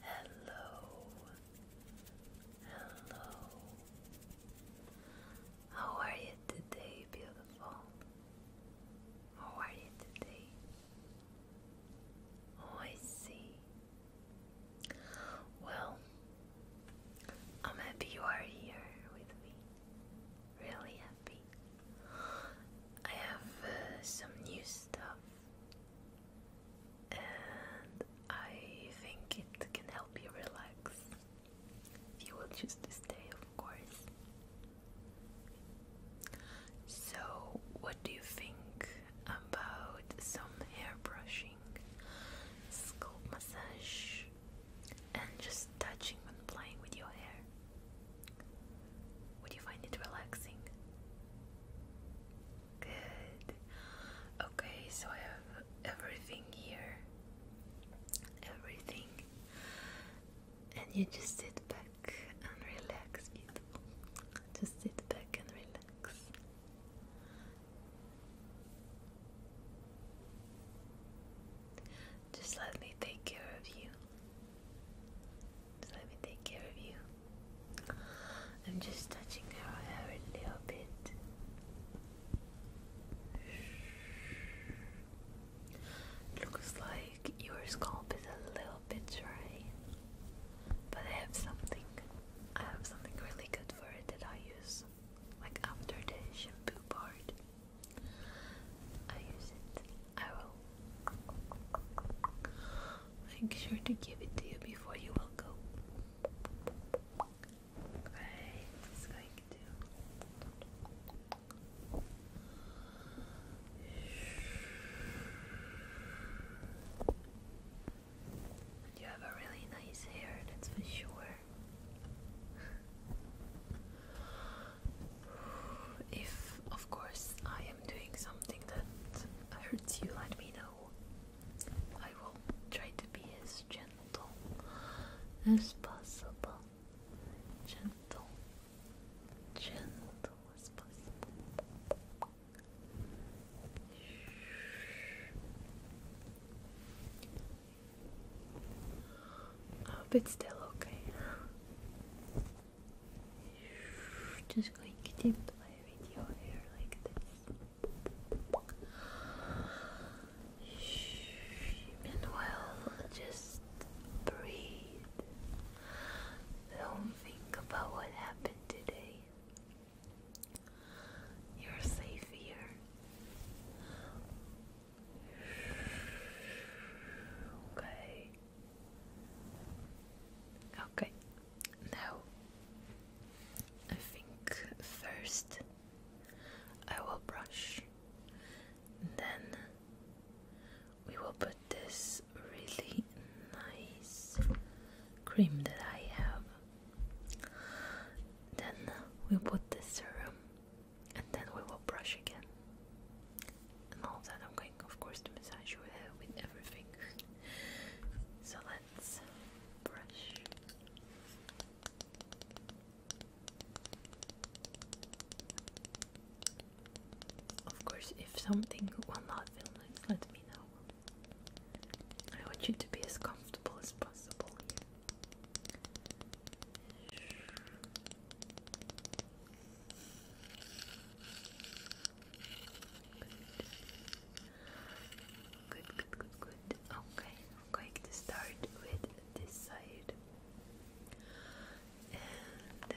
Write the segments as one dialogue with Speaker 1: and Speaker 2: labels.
Speaker 1: Hello, hello. How are you today, beautiful? How are you today? Oh, I see. Well, I'm happy you are here with me. Really happy. I have uh, some new stuff and I think it can help you relax you will choose to stay, of course. So, what do you think about some hair brushing, scalp massage, and just touching and playing with your hair? Would you find it relaxing? Good. Okay, so I have everything here. Everything. And you just sit back and relax, Just sit back and relax. Just let me take care of you let me take care of you. I'm just touching her hair a little bit. Looks like your scalp is a little bit dry, but I have something. I have something really good for it that I use, like after the shampoo part. I use it. I will make sure to give it to you before you will go. you have a really nice hair, that's for sure if, of course, I am doing something that hurts you, let me know. I will try to be as gentle as possible. Gentle, gentle as possible. hope it's still okay. Just going to play with your hair like this. Meanwhile, just breathe. Don't think about what happened today. You're safe here. Okay. Okay, now I think first I will brush, then we will put this really nice cream that I have. Then we put the serum and then we will brush again and all of that. I'm going, of course, to massage your hair with everything. so let's brush. Of course, if something will not feel nice, let me know. I want you to be as comfortable as possible. Good, good, good, good. Okay, i to start with this side. Okay,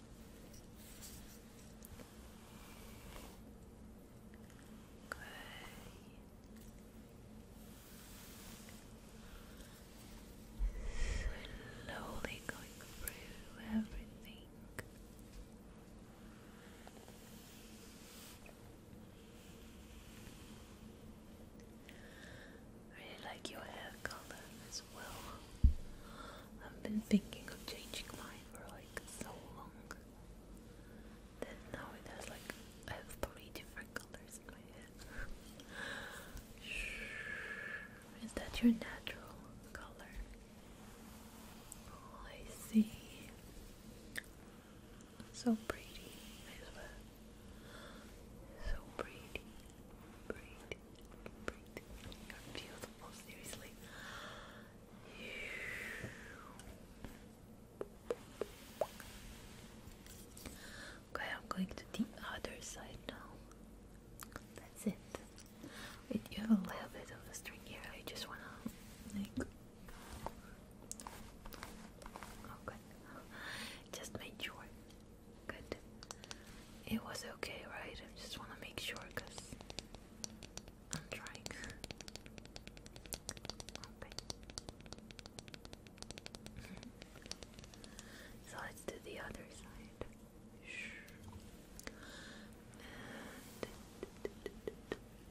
Speaker 1: Good. Slowly going through everything. I really like your hair color as well. I've been thinking of changing mine for like so long that now it has like I have three different colors in my head. Is that your natural color? Oh, I see. So pretty, So pretty, pretty. Okay, I'm going to the other side now. That's it. Wait, you have a little bit of a string here. I just wanna like. Okay, just make sure Good. It was okay, right? I just want to make sure because I'm trying. okay. so let's do the other side.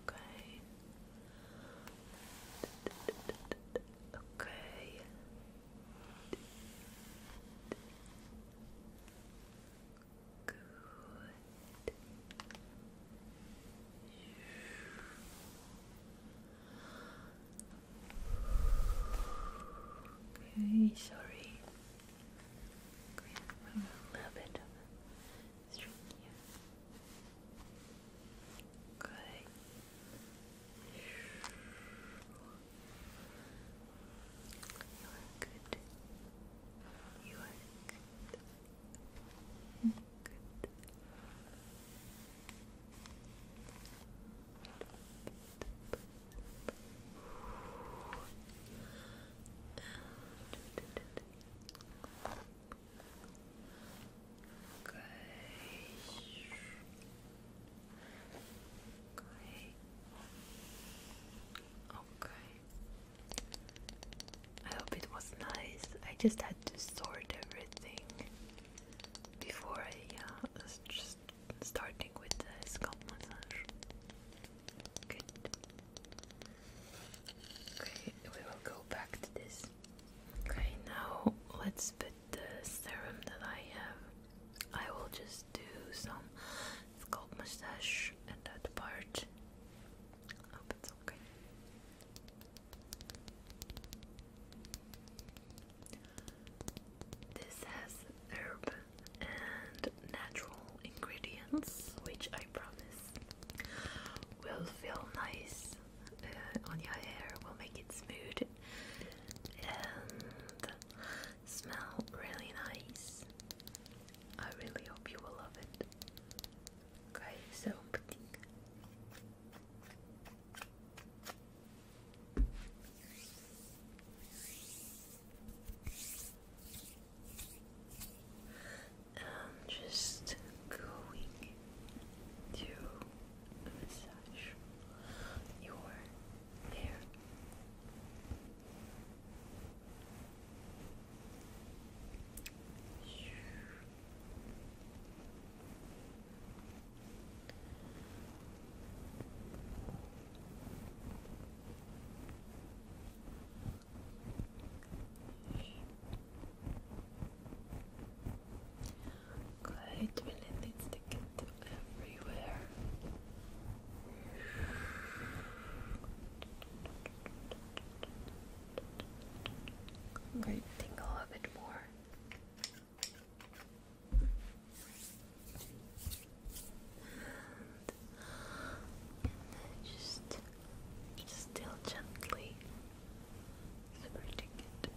Speaker 1: okay. Okay. Good. Okay, sorry. a little bit of a here. Good. You are good. You are good. Good. Good. Okay. Okay. I hope it was nice. I just had to sort everything before I uh, just starting with the scalp massage. Good. Okay, we will go back to this. Okay, now let's put the serum that I have I will just do some scalp mustache and that part. I hope it's okay. This has herb and natural ingredients, which I promise will feel nice uh, on your hair, will make it smooth and smell really nice. I really hope you will love it. Okay, so putting and just going to massage your hair. It really needs to get everywhere. i to tingle a bit more. And just, just still gently spreading it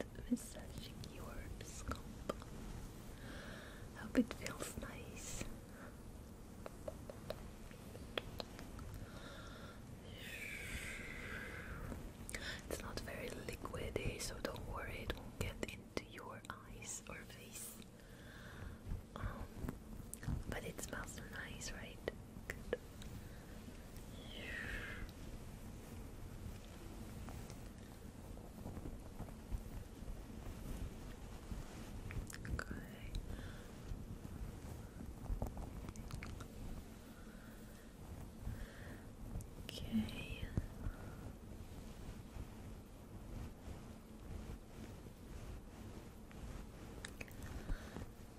Speaker 1: and massaging your scalp. Hope it feels nice. It's not very liquidy, so don't worry, it won't get into your eyes or face. Um, but it smells nice, right? Good. Okay. Okay.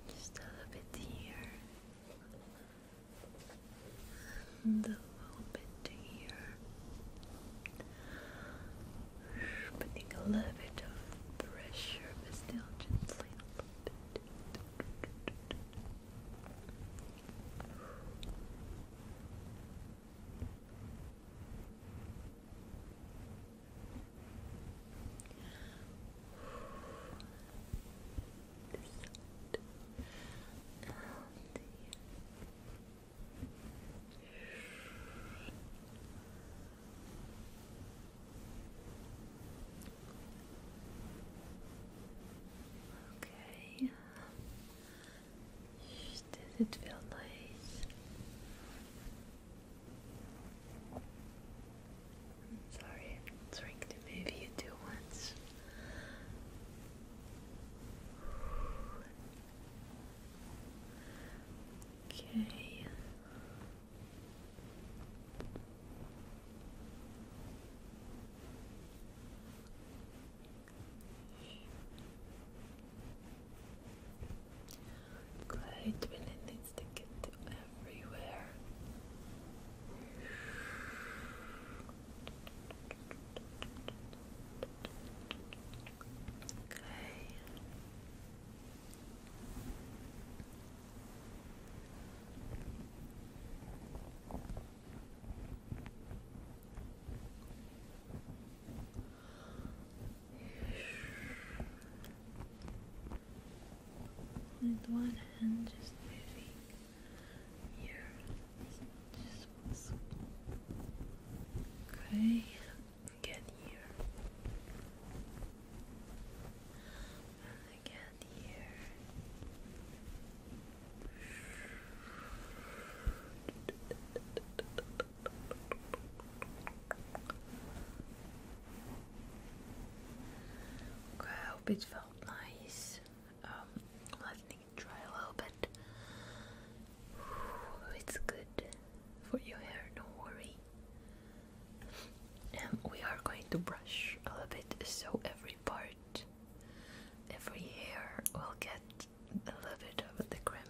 Speaker 1: Just a little bit here and a little bit here, putting a little bit of pressure, but a little bit this Okay. Does it feel nice? Sorry, I'm trying to move you too much. Okay. Quite when it needs to get everywhere. Okay. Good with one hand just moving here just okay get here and here Okay, I hope it felt nice. Um, letting it dry a little bit. It's good for your hair, no worry. And we are going to brush a little bit so every part, every hair will get a little bit of the cream.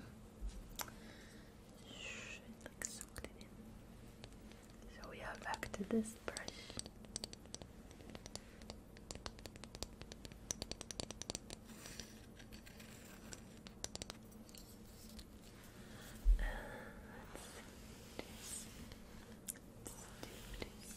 Speaker 1: It like soaked it so we are back to this brush. let's do this. Let's do this.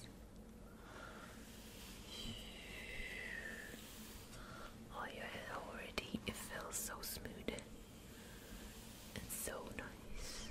Speaker 1: Oh, your hair already, it feels so smooth and so nice.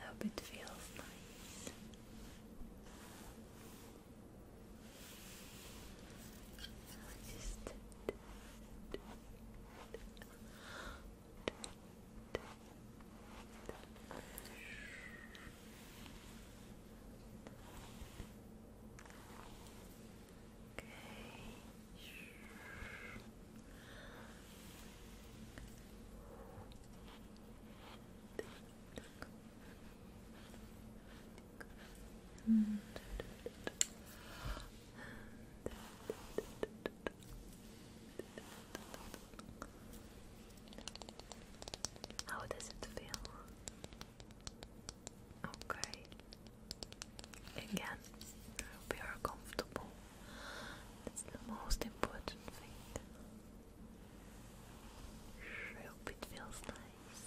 Speaker 1: I hope it feels nice. i and how does it feel? Okay, Again, we are comfortable. That's the most important thing. I hope it feels nice.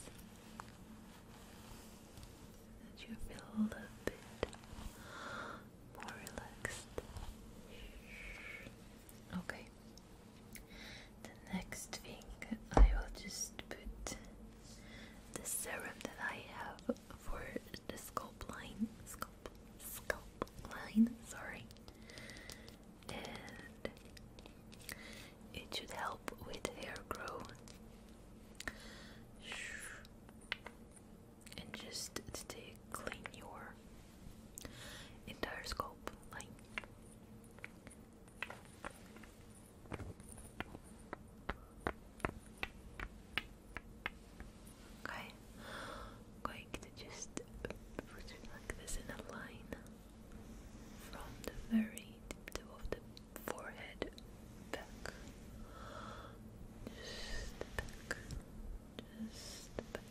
Speaker 1: That you feel a bit more relaxed. Okay. The next thing I will just put the serum that I have for the sculpt line, sculpt, sculpt line, sorry, and it should help with hair growth and just to clean your entire scalp line. Okay, i going to just put it like this in a line from the very tip of the forehead back. Just back. Just back.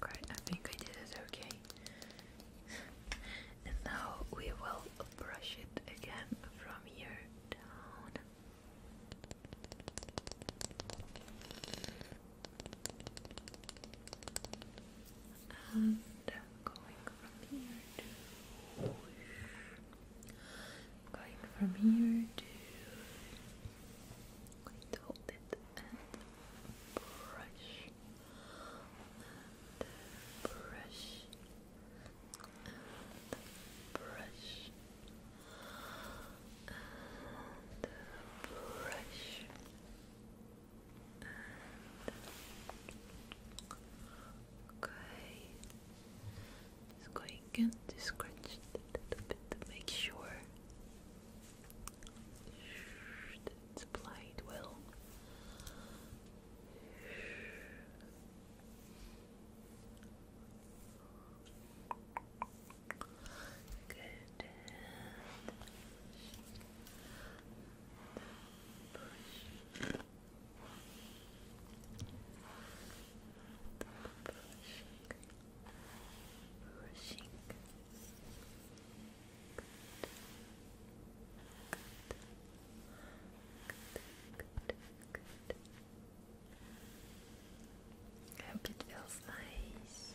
Speaker 1: Great, I think I did it okay. and now we will brush it again from here down and going from here to going from here to going to hold it and brush and brush and brush and brush and okay, just going again to scratch it bit to make sure it's applied well. Good push, push. I hope it feels nice.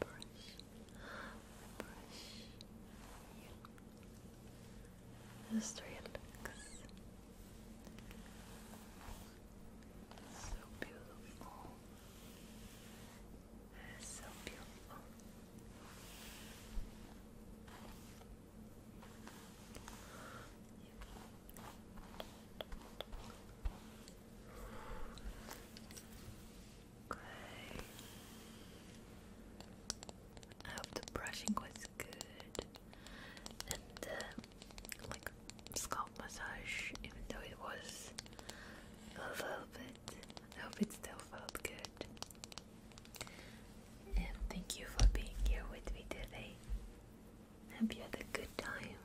Speaker 1: brush, you. Just relax. So beautiful. So beautiful. I hope the brushing was good and uh, like scalp massage, even though it was a little bit, I hope it still felt good. And thank you for being here with me today. Hope you had a good time.